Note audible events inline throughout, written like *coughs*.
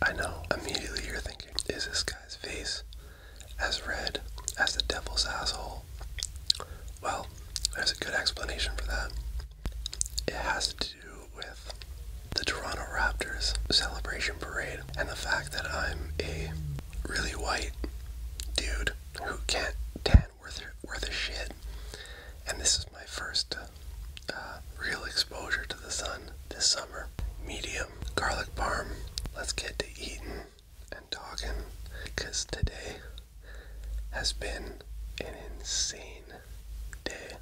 I know, immediately you're thinking, is this guy's face as red as the devil's asshole? Well, there's a good explanation for that. It has to do with the Toronto Raptors celebration parade and the fact that I'm a really white dude who can't tan worth, worth a shit. And this is my first uh, uh, real exposure to the sun this summer. Medium garlic parm. Let's get to eating and talking because today has been an insane day.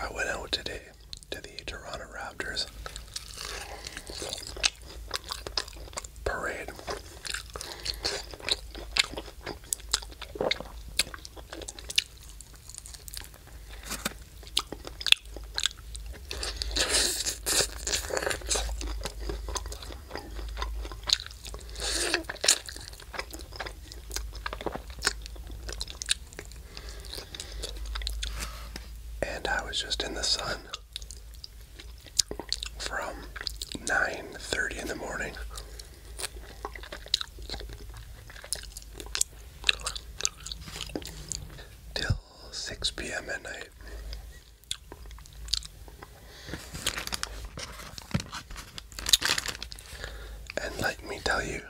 I went out today to the Toronto Raptors parade and I was just in the sun from 9:30 in the morning till 6 p.m. at night. And let me tell you,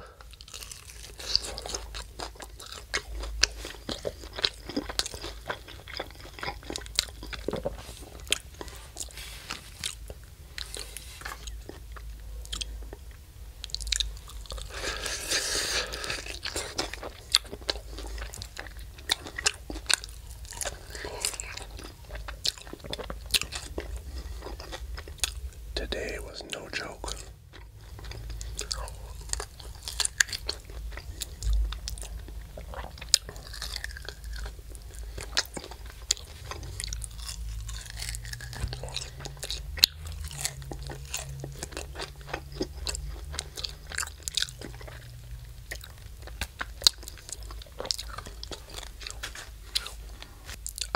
Today was no joke.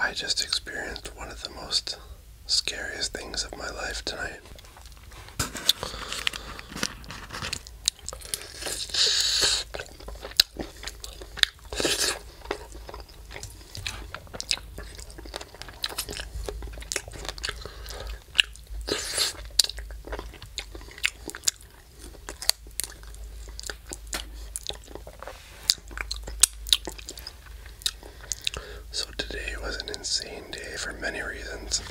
I just experienced one of the most scariest things of my life tonight. So today was an insane day for many reasons.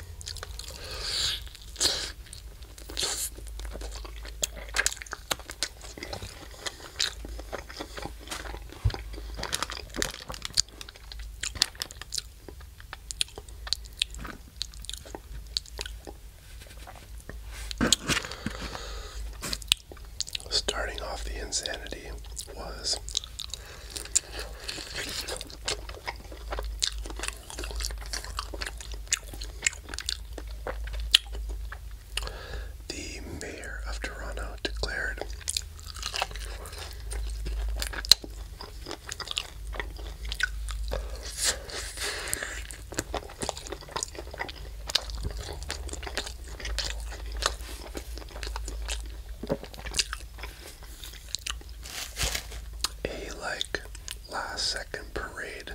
Starting off the insanity was the mayor of Toronto declared a like last second parade.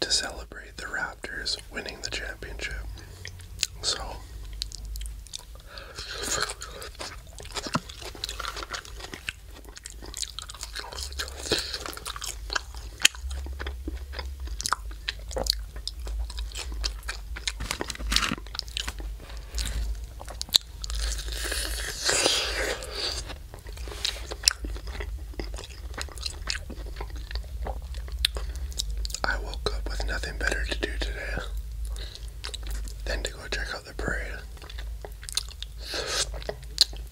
To celebrate the Raptors winning the championship. So, I woke up with nothing better to do today than to go check out the parade.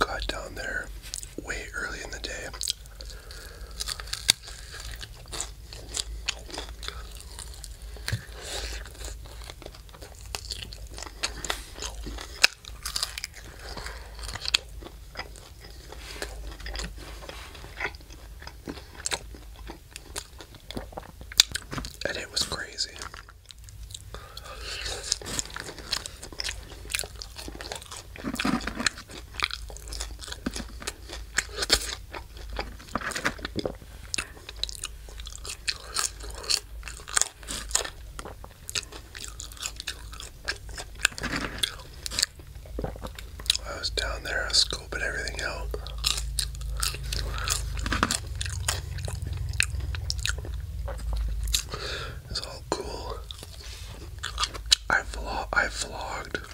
Got down there way early in the day. And it was crazy. I was down there, I was scoping everything out. It's all cool. I vlog. I vlogged.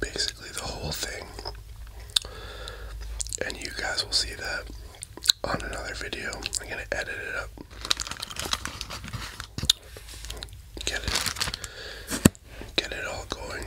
Basically, the whole thing, and you guys will see that on another video. I'm gonna edit it up, get it, get it all going.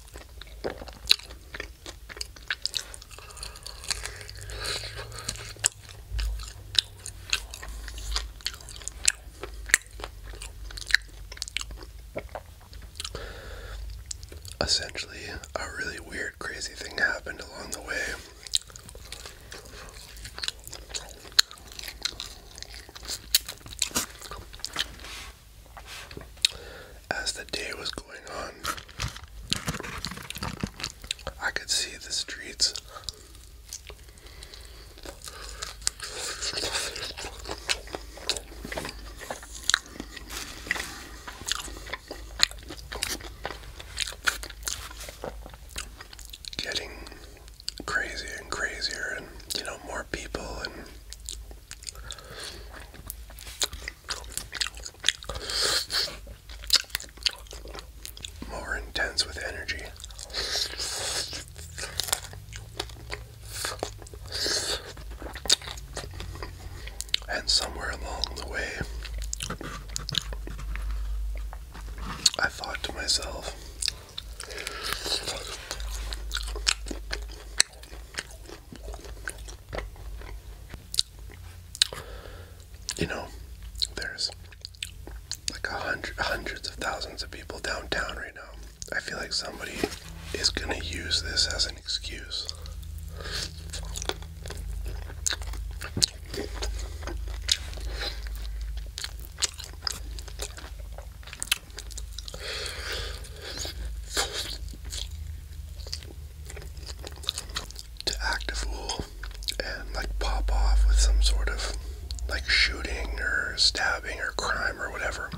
Essentially, a really weird, crazy thing happened along the way. As the day was going on, I could see the streets. Getting crazier and crazier, and you know, more people and more intense with energy. And somewhere along the way, I thought to myself, you know, there's like a hundred, hundreds of thousands of people downtown right now. I feel like somebody is gonna use this as an excuse to act a fool and like pop off with some sort of like shooting or stabbing or crime or whatever.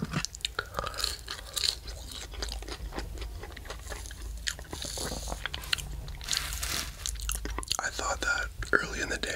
I thought that early in the day.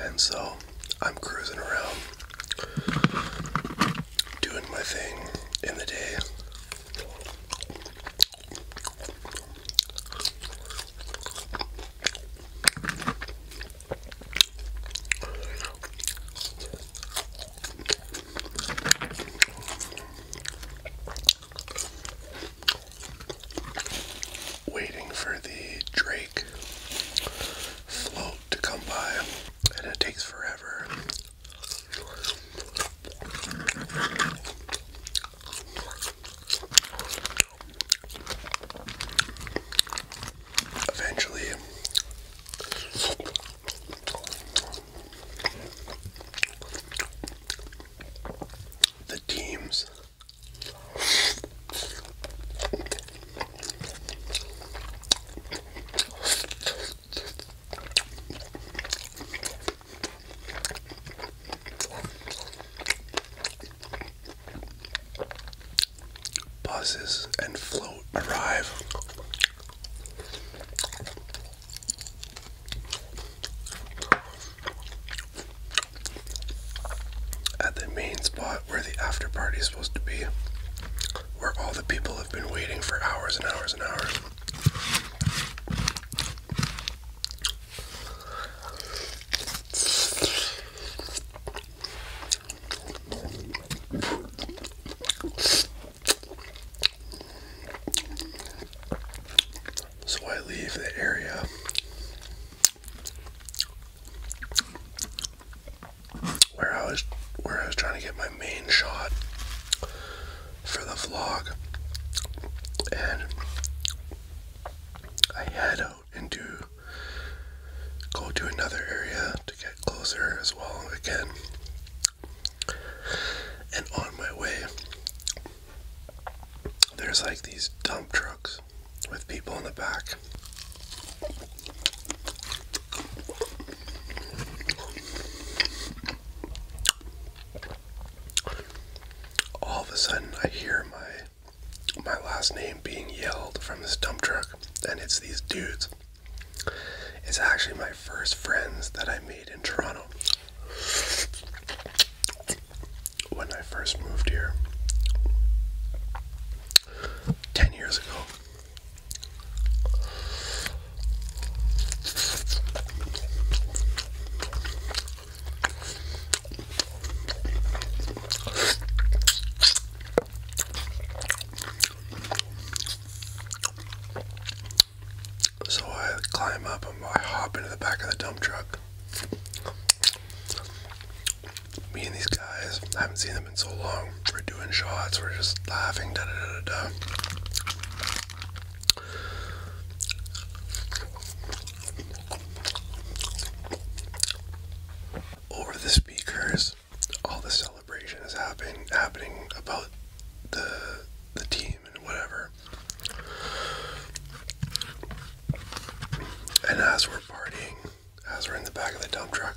And so I'm cruising around doing my thing in the day. Waiting for the Drake float to come by, and it takes forever. Eventually, the teams Buses and float arrive. At the main spot where the after party is supposed to be, where all the people have been waiting for hours and hours and hours. So I leave the area. Where I was, where I was trying to get my main shot for the vlog, and I head out into go to another area to get closer as well again. And on my way, there's like these dump trucks with people in the back. All of a sudden, I hear my my last name being yelled from this dump truck, and it's these dudes. It's actually my first friends that I made in Toronto. When I first moved here 10 years ago. So I climb up and I hop into the back of the dump truck. Me and these guys, haven't seen them in so long. We're doing shots, we're just laughing, da da da da da. Over the speakers, all the celebration is happening happening about the the team and whatever. And as we're partying, as we're in the back of the dump truck,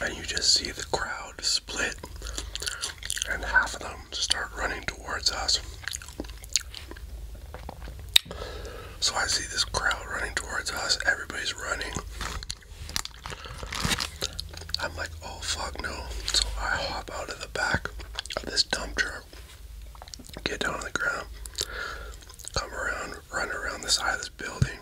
and you just see the crowd split, and half of them start running towards us. So I see this crowd running towards us, everybody's running. I'm like, oh fuck no. So I hop out of the back of this dump truck get down on the ground, come around, run around the side of this building.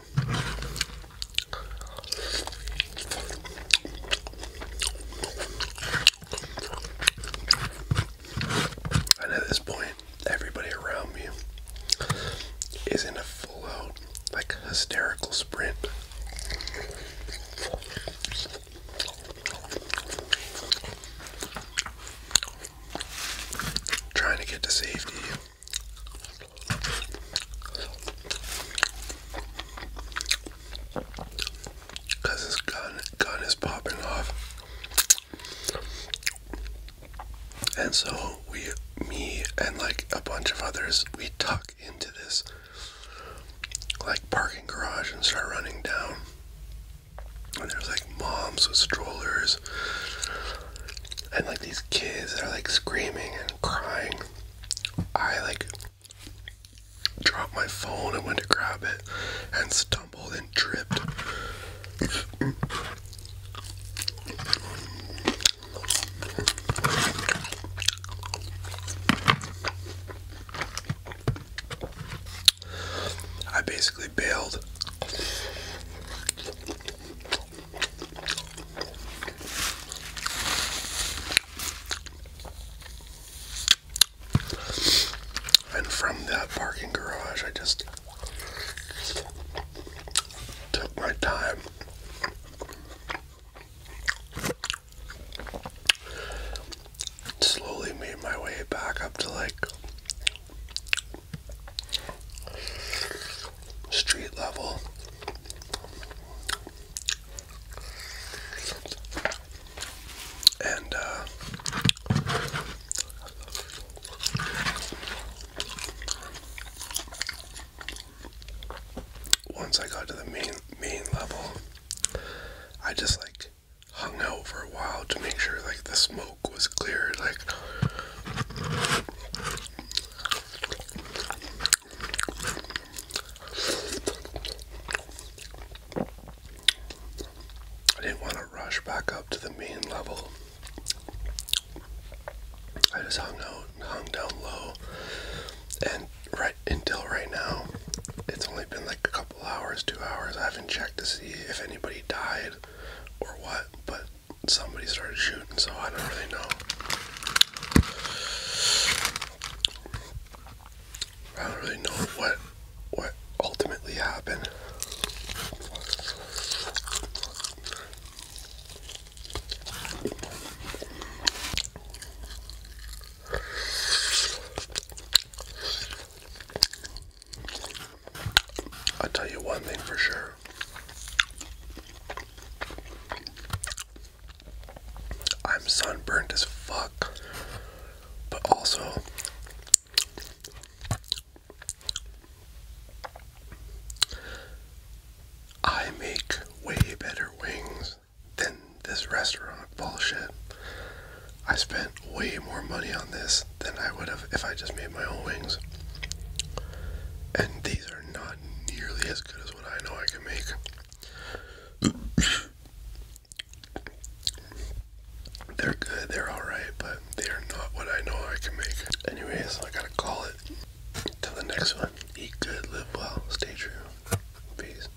And at this point, everybody around me is in a full out, like, hysterical sprint. Trying to get to safety. Cause his gun gun is popping off. And so we me and like a bunch of others we tuck into this like parking garage and start running down. And there's like moms with strollers and like these kids that are like screaming and crying. I like dropped my phone and went to grab it and stumbled and tripped. I basically bailed. And from that parking garage, I just took my time Slowly made my way back up to like street level. And uh once I got to the main main level, I just like hung out for a while to make sure like the smoke was cleared like I didn't want to rush back up to the main level. I just hung out hung down low and right until right now it's only been like a couple hours, two hours. I haven't checked to see if anybody died or what, but somebody started shooting, so I don't really know. I don't really know what what ultimately happened i tell you one thing for sure. I'm sunburned as fuck, but also I make way better wings than this restaurant bullshit. I spent way more money on this than I would have if I just made my own wings. And these are not nearly as good as what I know I can make. *coughs* They're good, they're alright, but they are not what I know I can make. Anyways, I gotta call it. Till the next one. Eat good, live well, stay true. Peace.